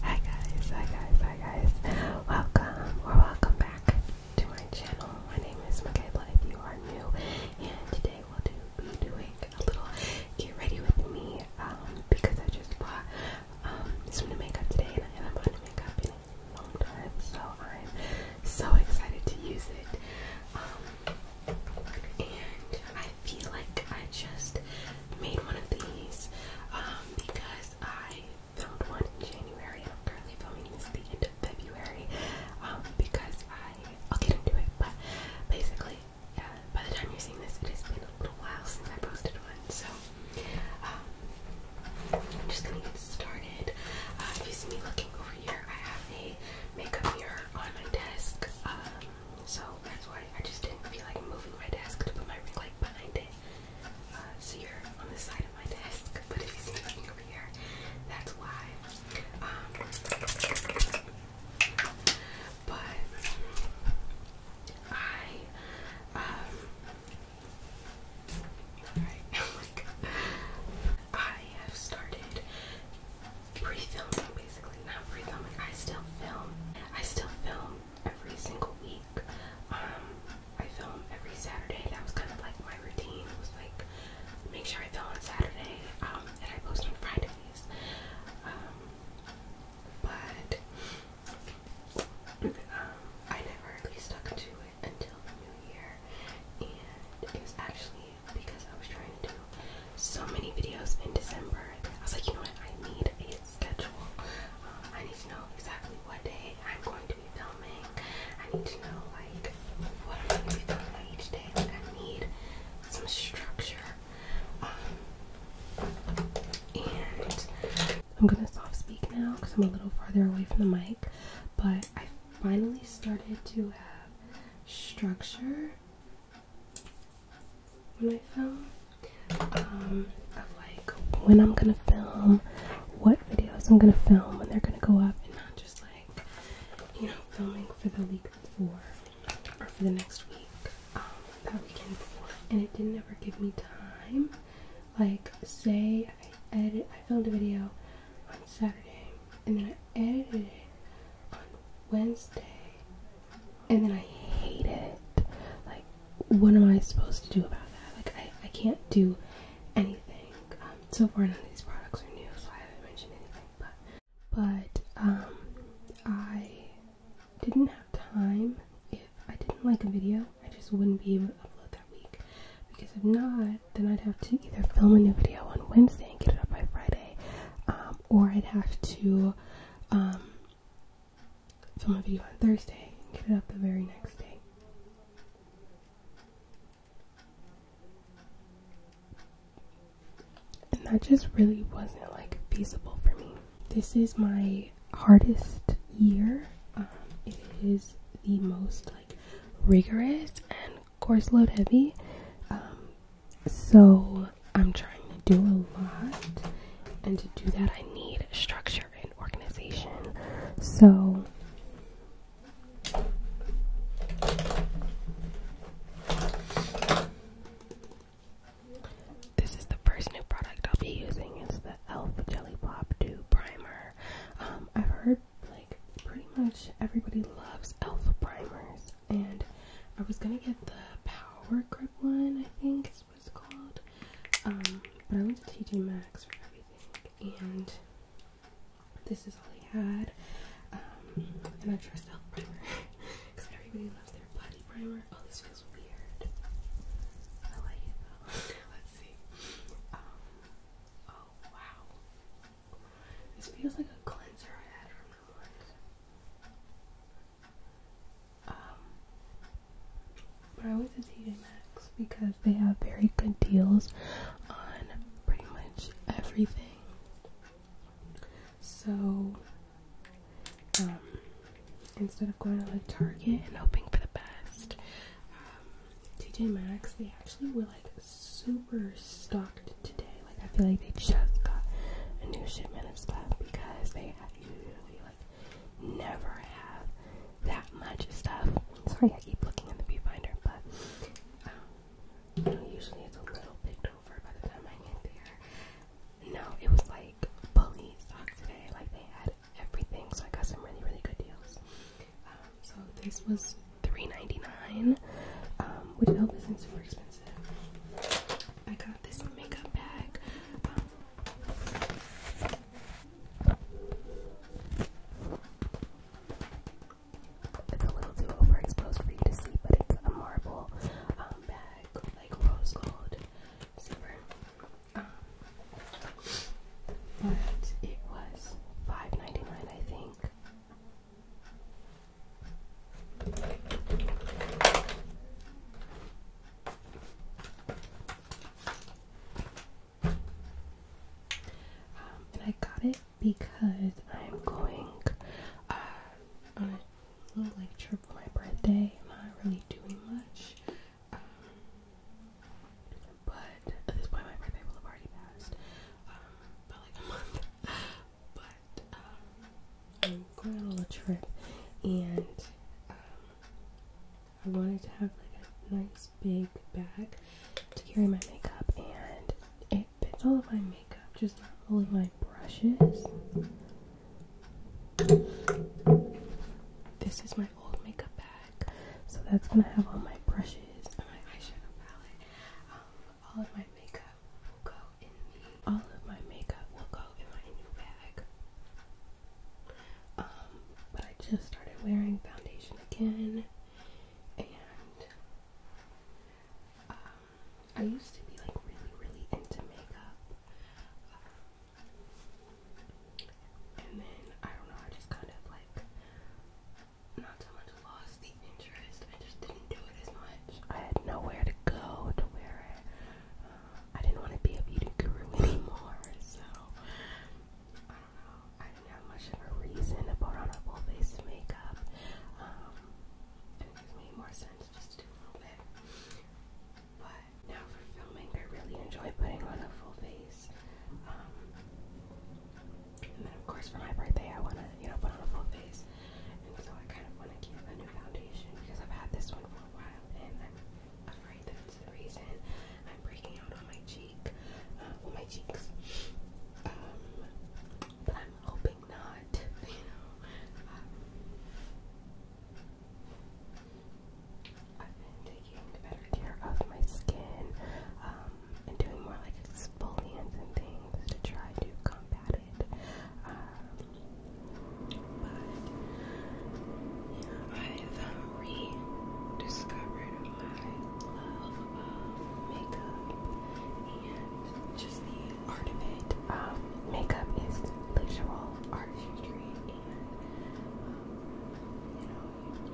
Hi guys, hi guys, hi guys. Welcome or welcome back to my channel. My name is Michaela if you are new and today we'll be doing a little get ready with me um, because I just bought um, some new makeup today and I haven't bought new makeup in a long time so I'm so excited to use it. Um, and I feel like I just made one of these um, because I filmed one in January. I'm currently filming this at the end of February um, because I, I'll get into it, but basically, uh, by the time you're seeing this, it has been a little while since I posted one. So, um, I'm just gonna get started. Uh, if you see me looking over here, I have a makeup mirror on my desk. So that's why I just didn't feel like moving my desk to put my ring light behind it. Uh, so you're on the side of my desk, but if you see me up here, that's why. Um, but I, um, alright, like, I have started pre-filming basically, not pre-filming, I still film, I still film every single week. Um, I film every Saturday. That was kind of like my routine. was like make sure I film on Saturday, um, and I post on Fridays. Um, but I never really stuck to it until the new year, and it was actually because I was trying to do so many videos in December. I was like, you know what? I need a schedule. Um, I need to know exactly what day I'm going to be filming. I need to know like what I'm going to be filming each day. Like I need some structure. Um, and I'm gonna soft speak now because I'm a little farther away from the mic. But I finally started to have structure when I film um, of like when I'm gonna film, what videos I'm gonna film, when they're gonna go up, and not just like you know filming for the week before or for the next week, um, that weekend And it didn't ever give me time. Like say I edit, I filmed a video on Saturday, and then I edited it on Wednesday and then I hate it. Like, what am I supposed to do about that? Like, I, I can't do anything. Um, so far, none of these products are new, so I haven't mentioned anything. But, but um, I didn't have time. If I didn't like a video, I just wouldn't be able to upload that week. Because if not, then I'd have to either film a new video on Wednesday and get it up by Friday, um, or I'd have to um, some of you on Thursday and get it up the very next day. And that just really wasn't like feasible for me. This is my hardest year. Um, it is the most like rigorous and course load heavy. Um, so I'm trying to do a lot, and to do that, I need structure and organization. So this is the first new product I'll be using. It's the Elf Jelly Pop Dew Primer. Um, I've heard like pretty much everybody loves Elf primers and I was gonna get the Power Grip one, I think is what called. Um, but I went to TJ Maxx for everything, and this is all he had. Um, and I trust Elf Primer because everybody loves their body primer. Oh, this feels weird. I like it though. Let's see. Um, oh wow, this feels like a cleanser I had from the one. Um, but I went to TJ Maxx because they have very good deals on pretty much everything. So, um, instead of going to like Target and hoping for the best, um, TJ Maxx they actually were like super stocked today. Like I feel like they just got a new shipment of stuff because they usually like never have that much stuff. Sorry, I keep looking at the viewfinder, but um, usually it's a little picked over by the time I get there. No, it was like bully stock today. Like they had everything, so I got some really really good deals. Um, so this was $3.99, um, which Elvis isn't super expensive. I got this makeup bag. it's a little too overexposed for you to see, but it's a marble um, bag, like rose gold, silver. Um, but it was 5 I think. Um, I got it because I'm going uh, on a little trip for my birthday. I'm not really doing much. Um, but at this point, my birthday will have already passed um, like a month but um, I'm going on a little trip and um, I wanted to have like a nice big bag to carry my makeup and it fits all of my makeup, just not all of my brushes. This is my old makeup bag, so that's gonna have all my brushes and my eyeshadow palette. Um, all of my makeup will go in me. All of my makeup will go in my new bag. Um, but I just started wearing foundation again, and um, I used to be like really, really into makeup, and then I don't know, I just kind of like not so much lost the interest. I just didn't do it as much. I had nowhere to go to wear it. Uh, I didn't want to be a beauty guru anymore, so I don't know. I didn't have much of a reason to put on a full face makeup. Um, and it made more sense just to do a little bit. But now for filming, I really enjoy putting on a full face. Um, and then, of course, for my birthday, I want to, you know, put on a full face so I kind of want to give a new foundation because I've had this one for a while and I'm afraid that's the reason I'm breaking out on my cheek, uh, my cheeks. Um, but I'm hoping not, you know. Um, I've been taking better care of my skin um, and doing more like exfoliants and things to try to combat it. But I've rediscovered my love of makeup and just the art of it. makeup is literal art history, and you know,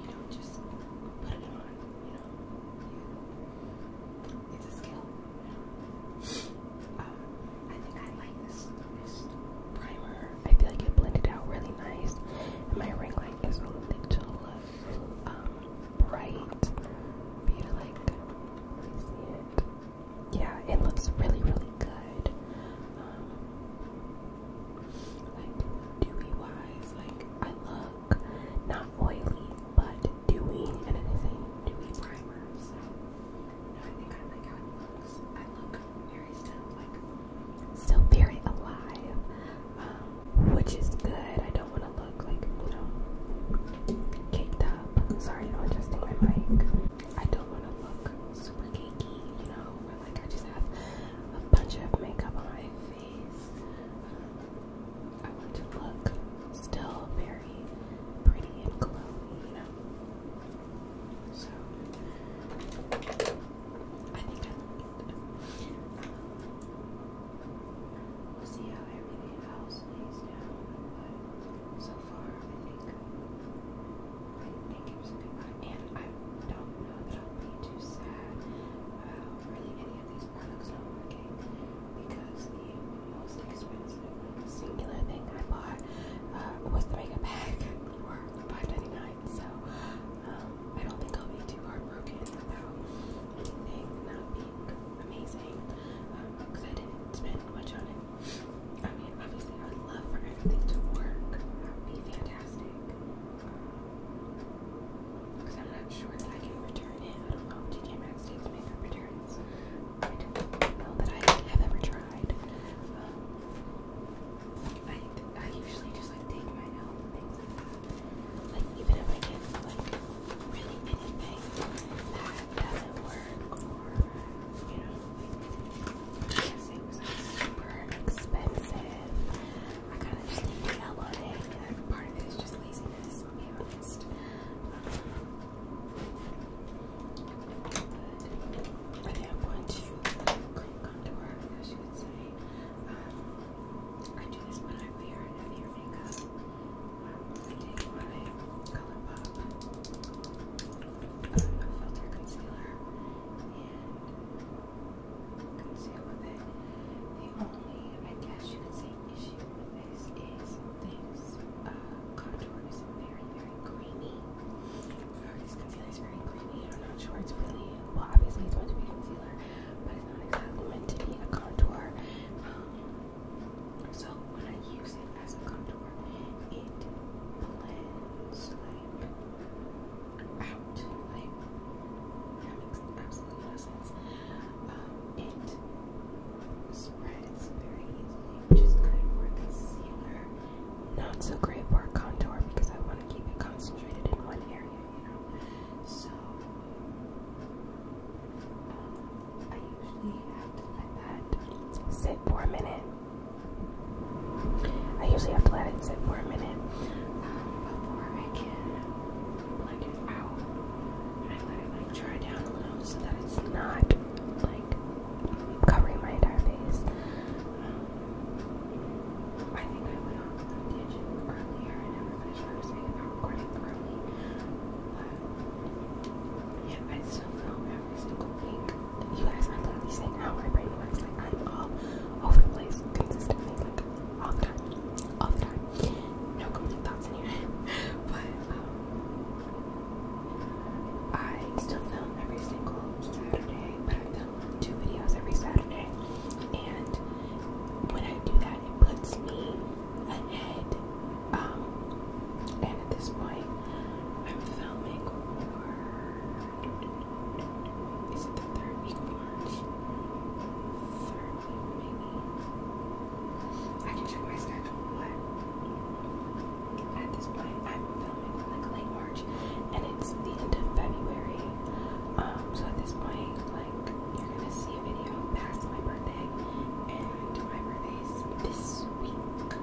you, don't just put it on. You know, it's a skill. Um, I think I like this, primer. I feel like it blended out really nice. my ring light is a little um, bright for you like really see it. Yeah, it looks really, really good. Um, like dewy wise, like I look not oily, but dewy, and it is a dewy primer. So, I look very still, like, still very alive, um, which is good. I don't want to look like, you know, caked up. Sorry, I'm adjusting my mic. I don't want to look super cakey, you know, where like I just have a bunch of makeup on my face. Um, I want to look still very very pretty and glowy, you know? So, I think I like it. Um, we'll see how everything else lays down, but so far I think I think it was a good one. And I don't know that I'll be too sad about really any of these is Alex Dollar Cake because the most expensive singular thing I bought uh, was the mega pack for $5.99. So um, I don't think I'll be too heartbroken about anything not being amazing because uh, um, I didn't spend much on it. I mean, obviously, I would love for everything to work. That would be fantastic. Because um, I'm not sure that I can return it. I don't know. DK Maxx Valentine's Day makeup returns. I don't know that I have ever tried. Um, I I usually just like take my own things like that. Like even if I get like really anything that doesn't work or you know like I guess it was like, super expensive. I kind of just need to yell on it and part of it is just laziness, I'll be honest. I think I'm going to clean contour, I should say. Um, I do this when I wear heavier makeup. Um, I take my ColourPop uh, filter concealer and conceal with it. The only, I guess you could say, issue this is this uh, contour is very, very creamy. this concealer is very creamy. I'm not sure it's really well. Obviously, it's meant to be a concealer, but it's not exactly meant to be a contour. Um, so when I use it as a contour, it blends like out. that makes absolutely no um, it spreads very easily, which good for concealer. Not so great for contour because I want to keep it concentrated in one area, you know. So um, I usually have to let that sit for a minute. I usually have to let it sit for a minute um, before I can blend it out like dry down a little so that it's not like covering my entire face. Um, I think I went off the tangent earlier and everybody's what I was saying I'm recording early. But yeah, I still film every single week. You guys are literally saying how my brain works. Like I'm all over the place consistently, like all the time. All the time no complete thoughts in here. but um, I still film every single Saturday, but I film two videos every Saturday. And when I do that, it puts me ahead. Um, and at this point, I'm filming Is it the third week I can check my schedule, but at this point I'm filming for like late March and it's the end of February. Um, so at this point, like you're gonna see a video past my birthday and my birthday's this week.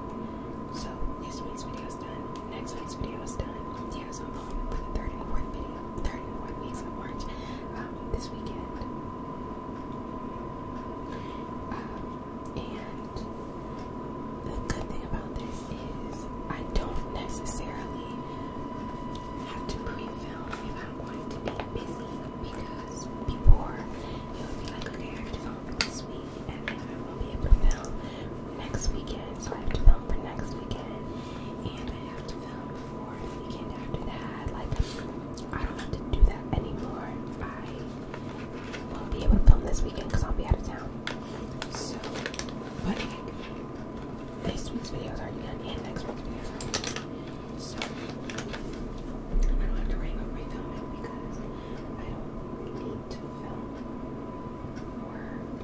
So this week's video is done, next week's video is done. Yeah, so I'm filming for the third and fourth video, third and fourth weeks of March, um, this weekend. Um, and the good thing about this is I don't necessarily have to pre-film if I'm going to be busy because before it would be like, okay, I have to film for this week and then I won't be able to film next weekend, so I have to film for next weekend and I have to film fourth weekend after that. Like, I don't have to do that anymore. I won't be able to film this weekend because I'll be out of town. So, buddy, this week's video is already done and next week's video is already done. So, I don't have to worry about refilming because I don't need to film for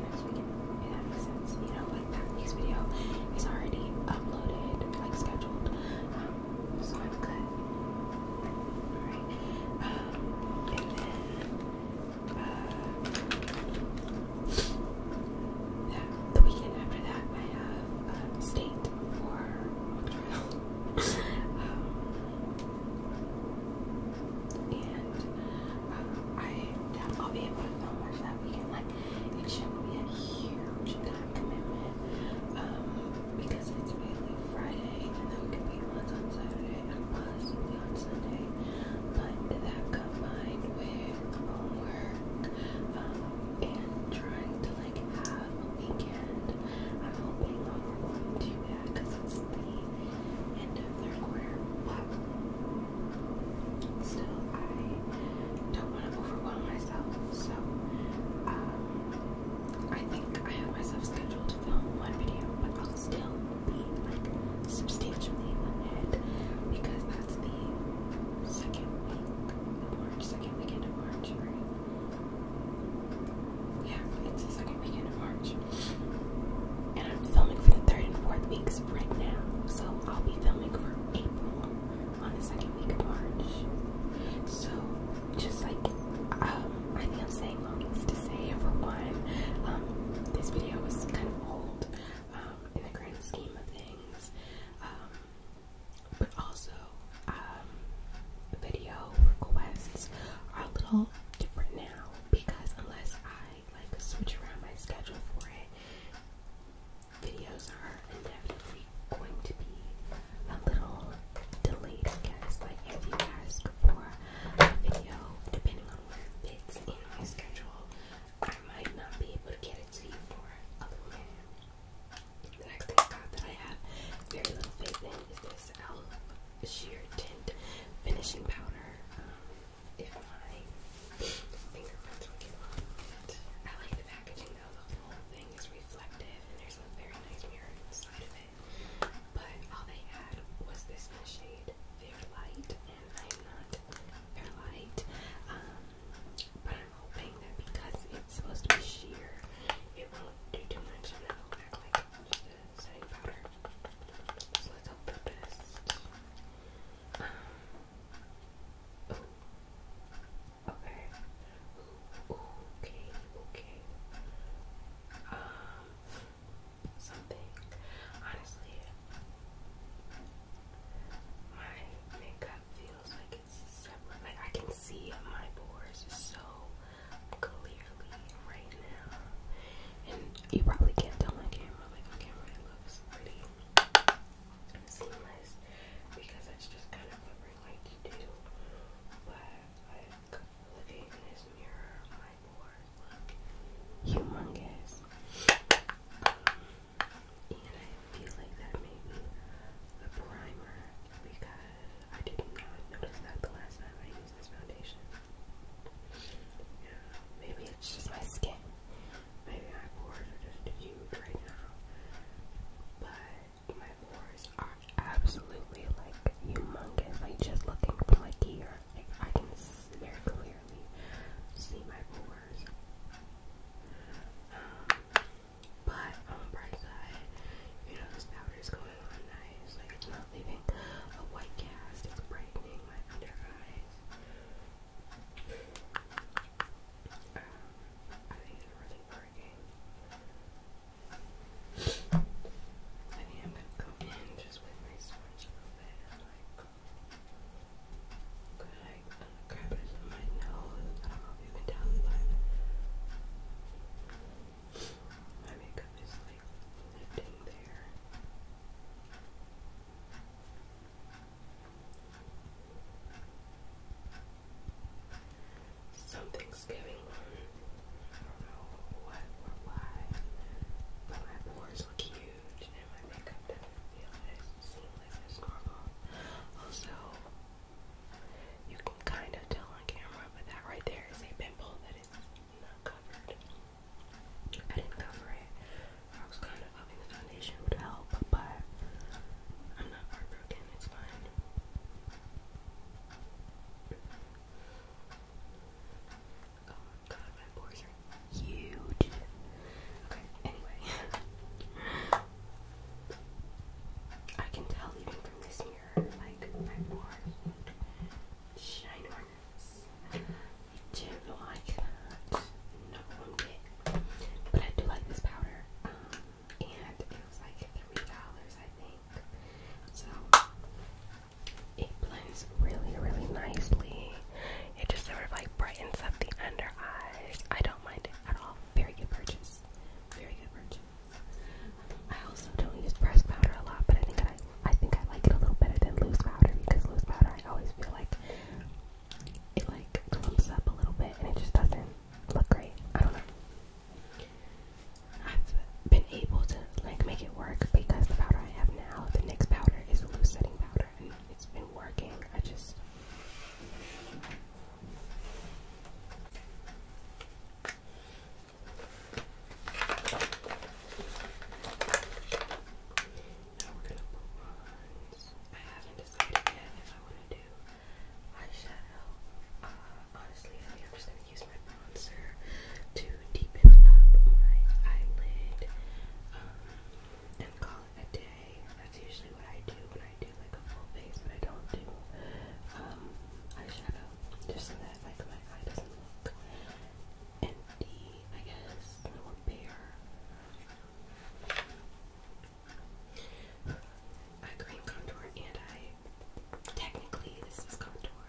next weekend. If that makes sense. You know, like that week's video is already uploaded, like scheduled. I've got alright. Uh, the weekend after that I have um, state and uh, I will be able to film much that weekend. Like it should be a huge that commitment um, because it's mainly Friday and then we can be lunch on Saturday and possibly on Sunday. But that combined with homework um, and trying to like have a weekend, I'm hoping that we're going to do that because it's the end of third quarter. But still, I don't want to overwhelm myself. So um, I think I have myself scheduled to film one video, but I'll still be like substantially ahead because that's the second week of second weekend of March, Yeah, it's the second weekend of March. And I'm filming for the third and fourth weeks right now. So I'll be filming for April on the second week of March. So, just like, um, I think I'm saying all this to say, for one, um, this video was kind of old, um, in the grand scheme of things, um, but also, um, video requests are a little different now because unless I like switch around my schedule for it, videos are inevitably going to be a little delayed, guys. Like, if you ask before a video, depending on when it fits in my schedule, I might not be able to get it to you for a little bit. The next thing I got that I have very little faith in is this e.l.f. Sheer Tint Finishing Powder. Um, if my fingerprints get on it, I like the packaging interesting The whole thing is reflective, and there's a very nice mirror inside of it. But all they had was this shade Fair Light, and I'm not Fair Light. Um, but I'm hoping that because it's supposed to be sheer, it won't do too much and it'll like just a setting powder. So let's hope for Okay. Okay. Okay. Um, something. Honestly, my makeup feels like it's Like I can see my pores so clearly right now, and you probably can't tell my camera. Like on camera, looks pretty. It's because it's just kind of covering like to do. But looking in this mirror, my board look humongous. And I feel like that may be the primer because I did not notice that the last time I used this foundation. Yeah, maybe it's just my skin. Maybe my pores are just huge right now, but my pores are absolutely like humongous. Like just looking from like here, I can very clearly see my pores. Um, but on the bright side, you know this powder is going on nice. Like it's not leaving a white cast. It's brightening my under eyes. Um, I think it's really working. I think I'm gonna go in just with my sponge a little bit and like could I grab it in my nose? I don't know if you my makeup is like lifting there. Something's going on. I don't know what or why. But my pores look huge and my makeup doesn't feel as seamless as normal. Also, you can kind of tell on camera, but that right there is a pimple that is not covered. I didn't cover it. I was kind of hoping the foundation would help, but I'm not heartbroken, it's fine. Oh god, my pores are huge. Okay, anyway. I can tell even from this mirror, like, my pores look ginormous. I do like that. No one bit. But I do like this powder. Um, and it was like $3, I think. So it blends really, really nicely. It just sort of like brightens up the under eyes. I don't mind it at all. Very good purchase. Very good purchase. I also don't use pressed powder a lot, but I think I I think I like it a little better than loose powder because loose powder I always feel like it like clumps up a little bit and it just doesn't look great. I don't know. I've been able to like make it work because the powder I have now, the NYX powder, is a loose setting powder and it's been working. I just I haven't decided if I want to do eyeshadow. honestly, I am just gonna use my bronzer to deepen up my eyelid and call it a day. That's usually what I do when I do like a full face, but I don't do um, eyeshadow just so that like my eye doesn't look empty, I guess, or bare a cream contour, and I technically this is contour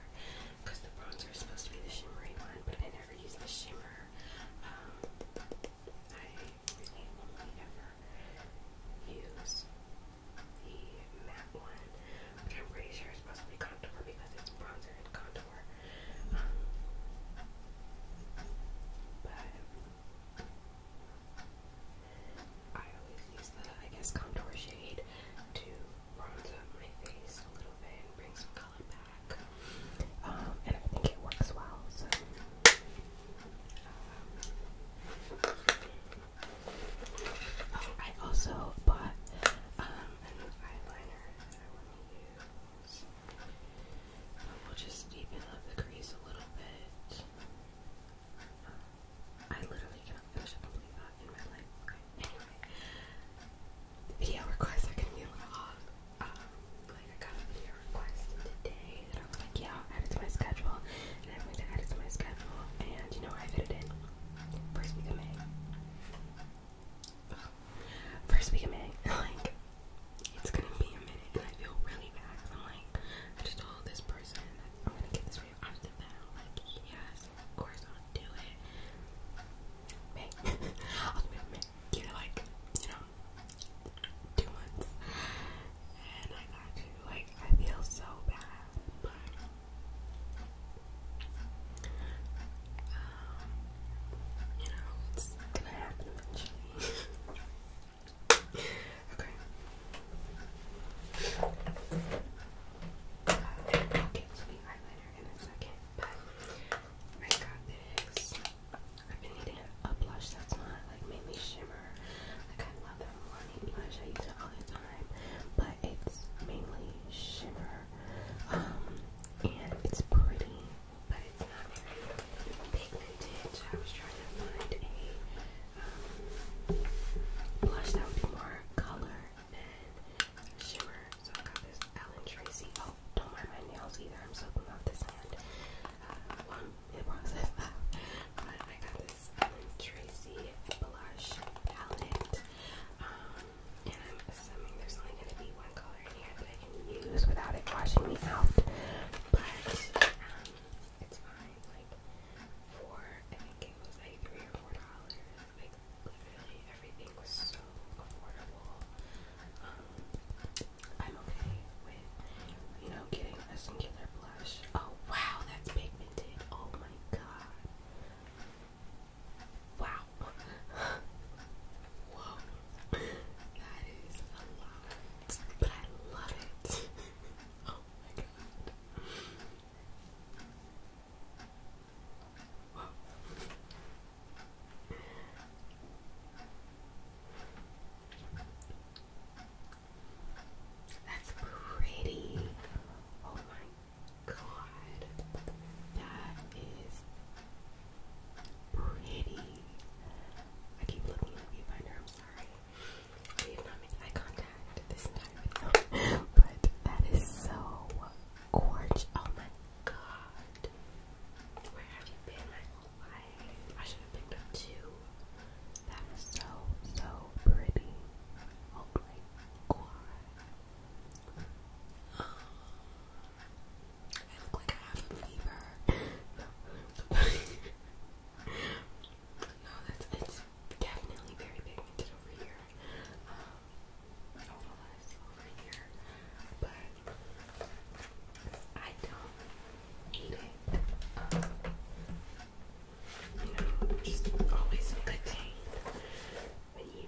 because the bronzer is supposed to be the shimmery one, but I never use the shimmer. Um, I really only ever use the matte one, but I'm pretty sure it's supposed to be contour because it's bronzer and contour. I always use the, I guess, contour shade to bronze up my face a little bit and bring some color back. Um, and I think it works well, so. Um, oh, I also bought um, an eyeliner that I want to use. We'll just deepen up the crease a little bit. I literally cannot finish that in my life. video requests are gonna be um, like I got a video request today I was like, yeah, i to my schedule. And I'm going to add it to my schedule. And you know I fit it in. First week of May first week of May, like it's gonna be a minute, and I feel really bad. I'm like, I just told this person I'm gonna get this video off the bat. of course i do it. May, I'll do it in May. You know, like, you know, two months, and I got to. Like, I feel so bad, but. Um, you know, it's gonna happen eventually okay. Uh, I'll get eyeliner in a second, but I got this. I've been needing a blush that's not like mainly shimmer. Like I love that morning blush. I use it all the time, but it's mainly shimmer. and it's pretty but it's not very pigmented. I was trying to find a um, blush that would be more color and shimmer. So I got this Alan Tracy. Oh, don't mind my nails either. I'm soaking off this hand uh, It well, in the but I got this Alan Tracy blush palette. Um, and I'm assuming there's only going to be one color in here that I can use without it washing me out. But um, it's fine. Like for I think it was like three or four dollars. Like literally everything was so affordable. Um, I'm okay with you know getting a singular blush. Oh wow, that's pigmented. Oh my god. Wow. Whoa, that is a lot, but I love it. oh my god. That's pretty. Oh my god. That is pretty. I keep looking at the viewfinder, I'm sorry. I did not make eye contact this entire but that is so gorgeous. Oh my god. Where have you been my whole life? I should have picked up two. That is so, so pretty. Oh my god. I look like I have a fever. no, that's it's definitely very pigmented over here. Um, don't know over here, but I don't need it. Um, you know, just always a when you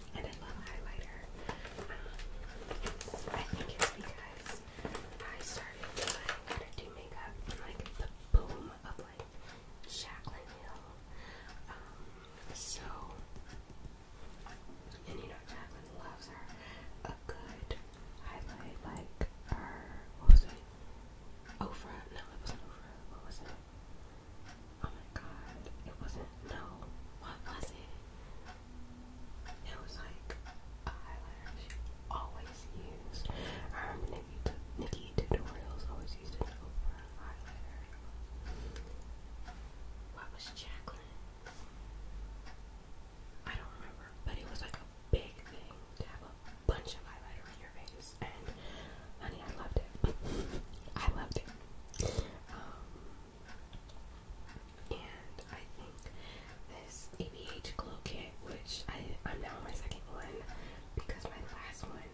and I love highlighter. Um, I think it's because I started doing how to do makeup in like the boom of like Jaclyn Hill. Um, so, and you know, Jaclyn loves her a good highlight, like her, what was it? Ofra, no, it wasn't Ofra, what was it? Oh my god. It wasn't no. What was it? It was like a highlighter she always used. I um, remember Nikki t tutorials always used it over a highlighter. What was Jacqueline? I don't remember, but it was like a big thing to have a bunch of highlighter on your face and honey, I loved it. I loved it. Um, and I think this ABH glow kit, which I, I'm now on my second one because my last one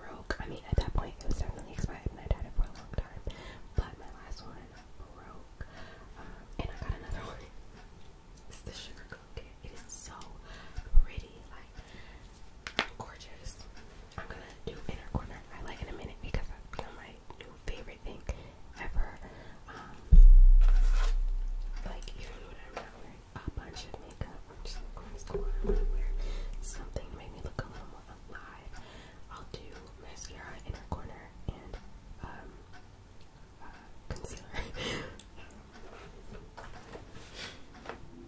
broke. I mean, at that point, it was definitely expired and I'd had it for a long time, but my last one broke. Um, and I got another one. It's the sugar glow kit. It is so pretty, like gorgeous. I'm gonna do inner corner I like in a minute because that's become my new favorite thing ever. Um, like even when I'm wearing a bunch of makeup, I'm just going to school and I'm to wear something to make me look a little more alive. I'll do mascara, inner corner, and um, uh, concealer.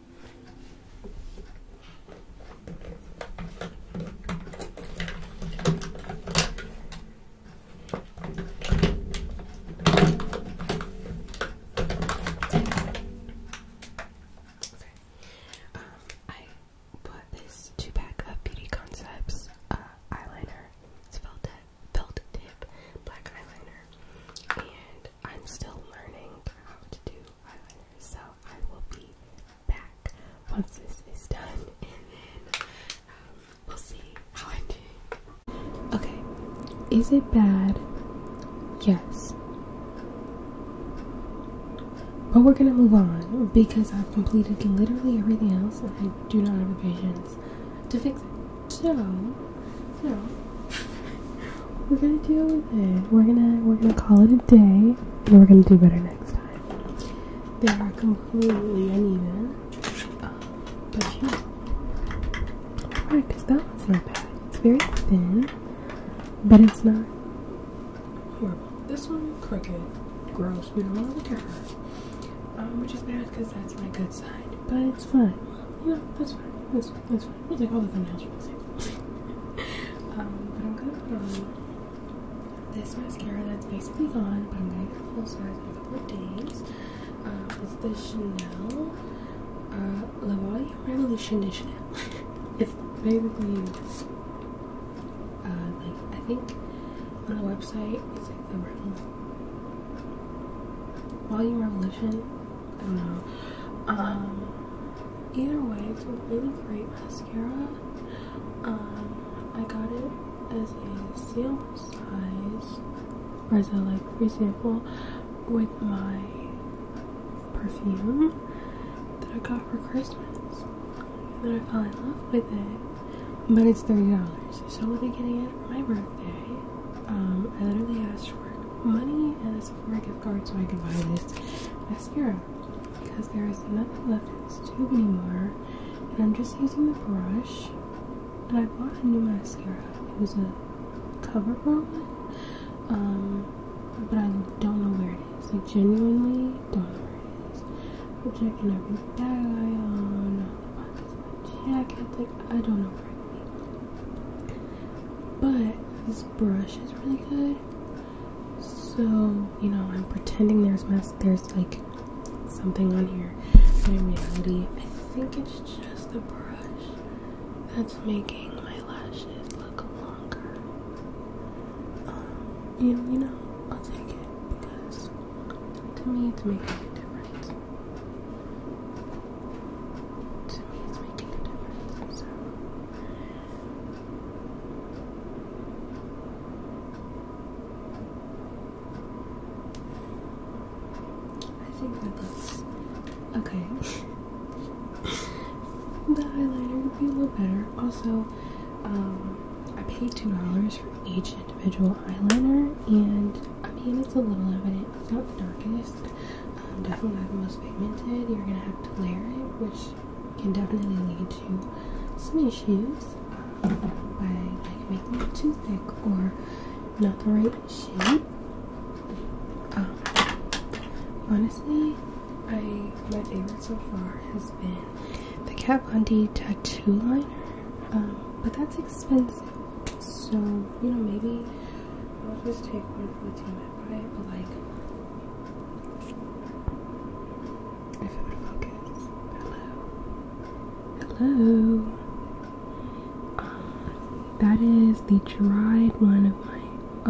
Okay. Um, I bought this two pack of Beauty Concepts uh, eyeliner. It's felt it. Felt tip black eyeliner, and I'm still learning how to do so I will be back once this is done, and then we'll see how I'm Okay, is it bad? Yes. But we're gonna move on because I've completed literally everything else and I do not have the patience to fix it. So, no we're gonna deal with it. We're gonna we're gonna call it a day, and we're gonna do better next time. They are completely uneven, but you know, practice. That one's not bad. It's very thin, but it's not This one crooked, gross. We don't want to look at her, which is bad because that's my good side. But it's fine. You that's fine. That's fine. That's we'll take all the thumbnails for the same. um, but I'm gonna put on this mascara that's basically gone, but I'm gonna get a full size in a couple days. Uh, it's the Chanel uh, Volume Revolution it's basically uh, like I think on the website it's like the Volume Revolution. I don't know. Um, Either way, it's a really great mascara. Um, I got it as a sample size, as a like free sample, with my perfume that I got for Christmas. And then I fell in love with it. But it's $30, so I'll be getting it for my birthday. Um, I literally asked for money and it's my gift card so I can buy this mascara because there is nothing left in this tube anymore and I'm just using the brush and I bought a new mascara it was a cover one um, but I don't know where it is like genuinely don't know where it is I'm checking every bag I own all the pockets of like I don't know where it is but this brush is really good. So, you know, I'm pretending there's mess there's like something on here. I think it's just the brush that's making my lashes look longer. Um, you, you know, I'll take it because to me it's making a difference. To me it's making a difference. So I think that looks okay. the eyeliner would be a little better. Also, um, I paid $2 for each individual eyeliner, and I mean, it's a little evident. It's not the darkest. Um, definitely not the most pigmented. You're gonna have to layer it, which can definitely lead to some issues um, by like making it too thick or not the right shade. Um, honestly, I my favorite so far has been the Kat Von D tattoo liner, but that's expensive. So you know maybe I'll just take one for the team right? But like, if it would focus. Hello. Hello. Uh, that is the dried one of my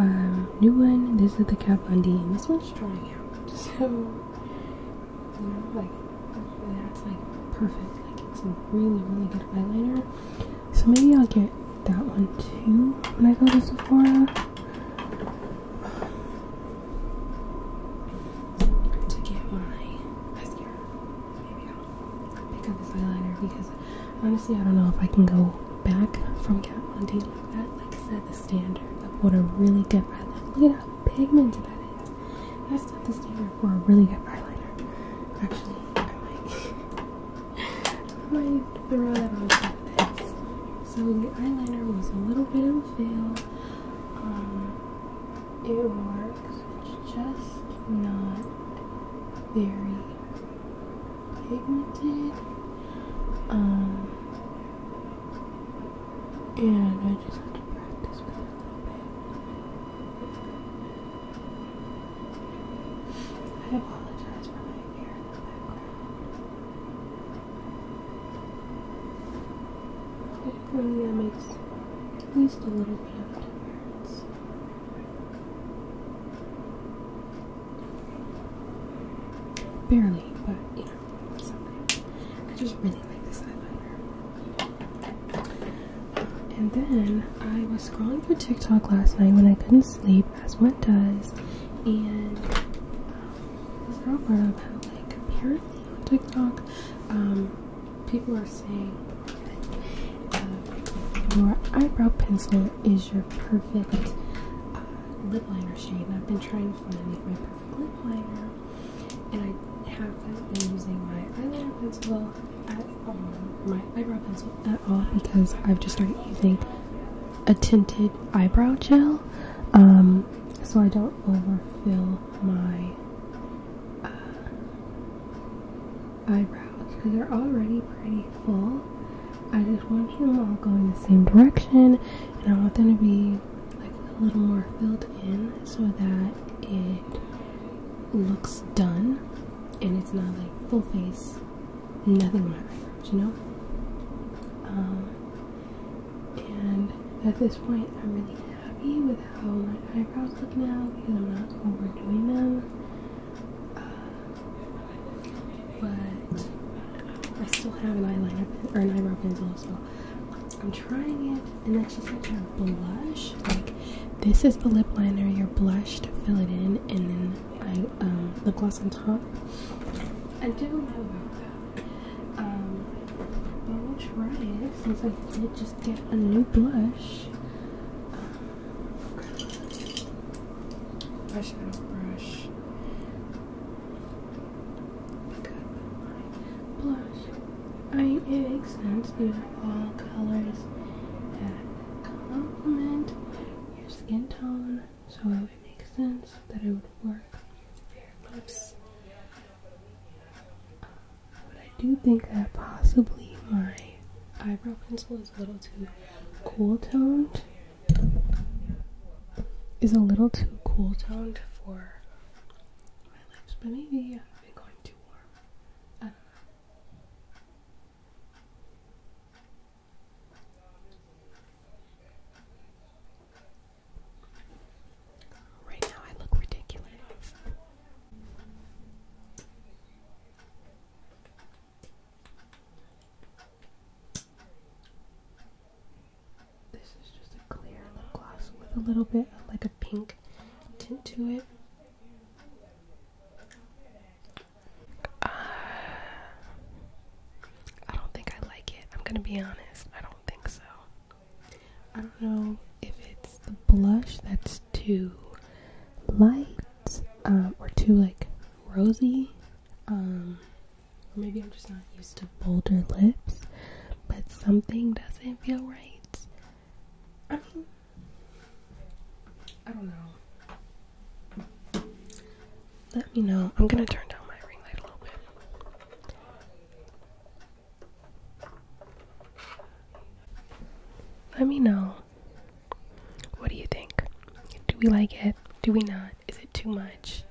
um, new one. This is the Kat Bundy. And this one's drying out. So, you know, like, that's like perfect. Like, it's a really, really good eyeliner. So maybe I'll get that one too when I go to Sephora. To get my mascara. Maybe I'll pick up this eyeliner because honestly, I don't know if I can go back from Kat Von D like that. Like I said, the standard of what a really good eyeliner. Look at how pigmented that is. That's not the standard for a really good eyeliner. Actually, I am like. I might throw that on top of this. So the eyeliner was a little bit of a fail. Um, it works. It's just not very pigmented. Um, and I just have to practice with it a little bit. I apologize for my ear in the background. It really uh, makes at least a little bit of difference. Barely, but yeah. I just really like this eyeliner. And then I was scrolling through TikTok last night when I couldn't sleep, as what does, and um, apparently on TikTok, um, people are saying um, your eyebrow pencil is your perfect uh, lip liner shade. And I've been trying to find my perfect lip liner, and I have been using my eyebrow pencil I do um, my eyebrow pencil at all because I've just started using a tinted eyebrow gel, um, so I don't overfill my uh, eyebrows because they're already pretty full. I just want them all going the same direction, and I want them to be like a little more filled in so that it looks done and it's not like full face nothing my matters, you know? Um, and at this point, I'm really happy with how my eyebrows look now because I'm not overdoing them. Uh, but I still have an eyeliner or an eyebrow pencil, so I'm trying it. And that's just like a blush. Like, this is the lip liner, your blush to fill it in, and then I um, lip gloss on top. I do know about that. Um, but i will try it since I did just get a new blush. Um, brush. I got my blush. I mean, it makes sense. These are all colors complement your skin tone, so it would make sense that it would work for your lips. but I do think that possibly my eyebrow pencil is a little too cool toned. Is a little too cool toned for my lips, but maybe I'm going too warm. I don't know. Right now, I look ridiculous. This is just a clear lip gloss with a little bit of like a pink tint to it. Uh, I don't think I like it. I'm gonna be honest. I don't think so. I don't know if it's the blush that's too light um, or too like rosy. Um, or maybe I'm just not used to bolder lips, but something doesn't feel right. I don't know. Let me know. I'm gonna turn down my ring light a little bit. Let me know. What do you think? Do we like it? Do we not? Is it too much?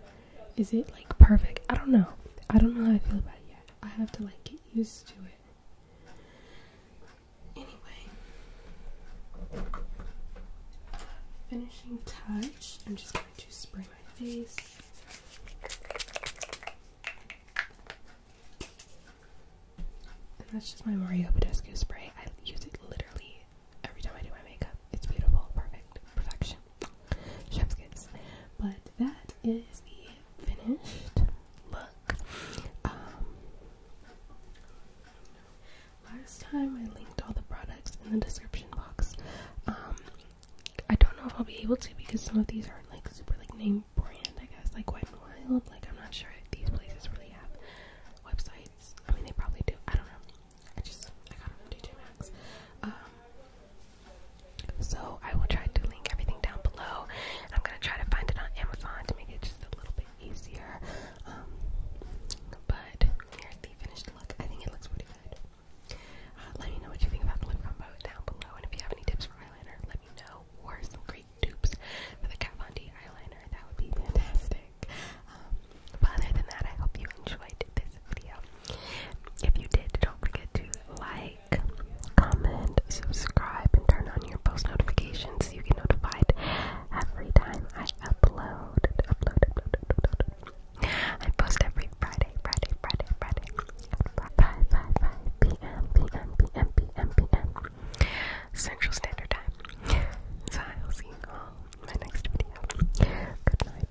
Is it like perfect? I don't know. I don't know how I feel about it yet. I have to like get used to it. Anyway, finishing touch. I'm just going to spray my face. that's just my Mario Badescu spray. I use it literally every time I do my makeup. It's beautiful, perfect, perfection. Chef's kiss. But that is the finished look. Um, Last time I linked all the products in the description box. Um, I don't know if I'll be able to because some of these aren't like super like name brand, I guess, like Wet and Wild. Like I'm not sure these places really have websites. I mean, they probably do. I don't know. I just I got them from DJ Maxx. Um, so I will try to link everything down below. I'm gonna try to find it on Amazon to make it just a little bit easier. Um, but here's the finished look. I think it looks pretty good. Uh, let me know what you think about the lip combo down below, and if you have any tips for eyeliner, let me know, or some great dupes for the Kat Von D eyeliner. That would be fantastic. Um, but other than that, I hope you enjoyed this video. If you did, don't forget to like, comment, subscribe, and turn on your post notifications so you get notified every time I upload. I post every Friday, Friday, Friday, Friday. 5, p.m., p.m., p.m., p.m., p.m. Central Standard Time. so I'll see you all in my next video. good night, good night,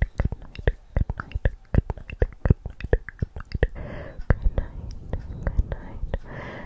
good night, good night, good night, good night. Good night.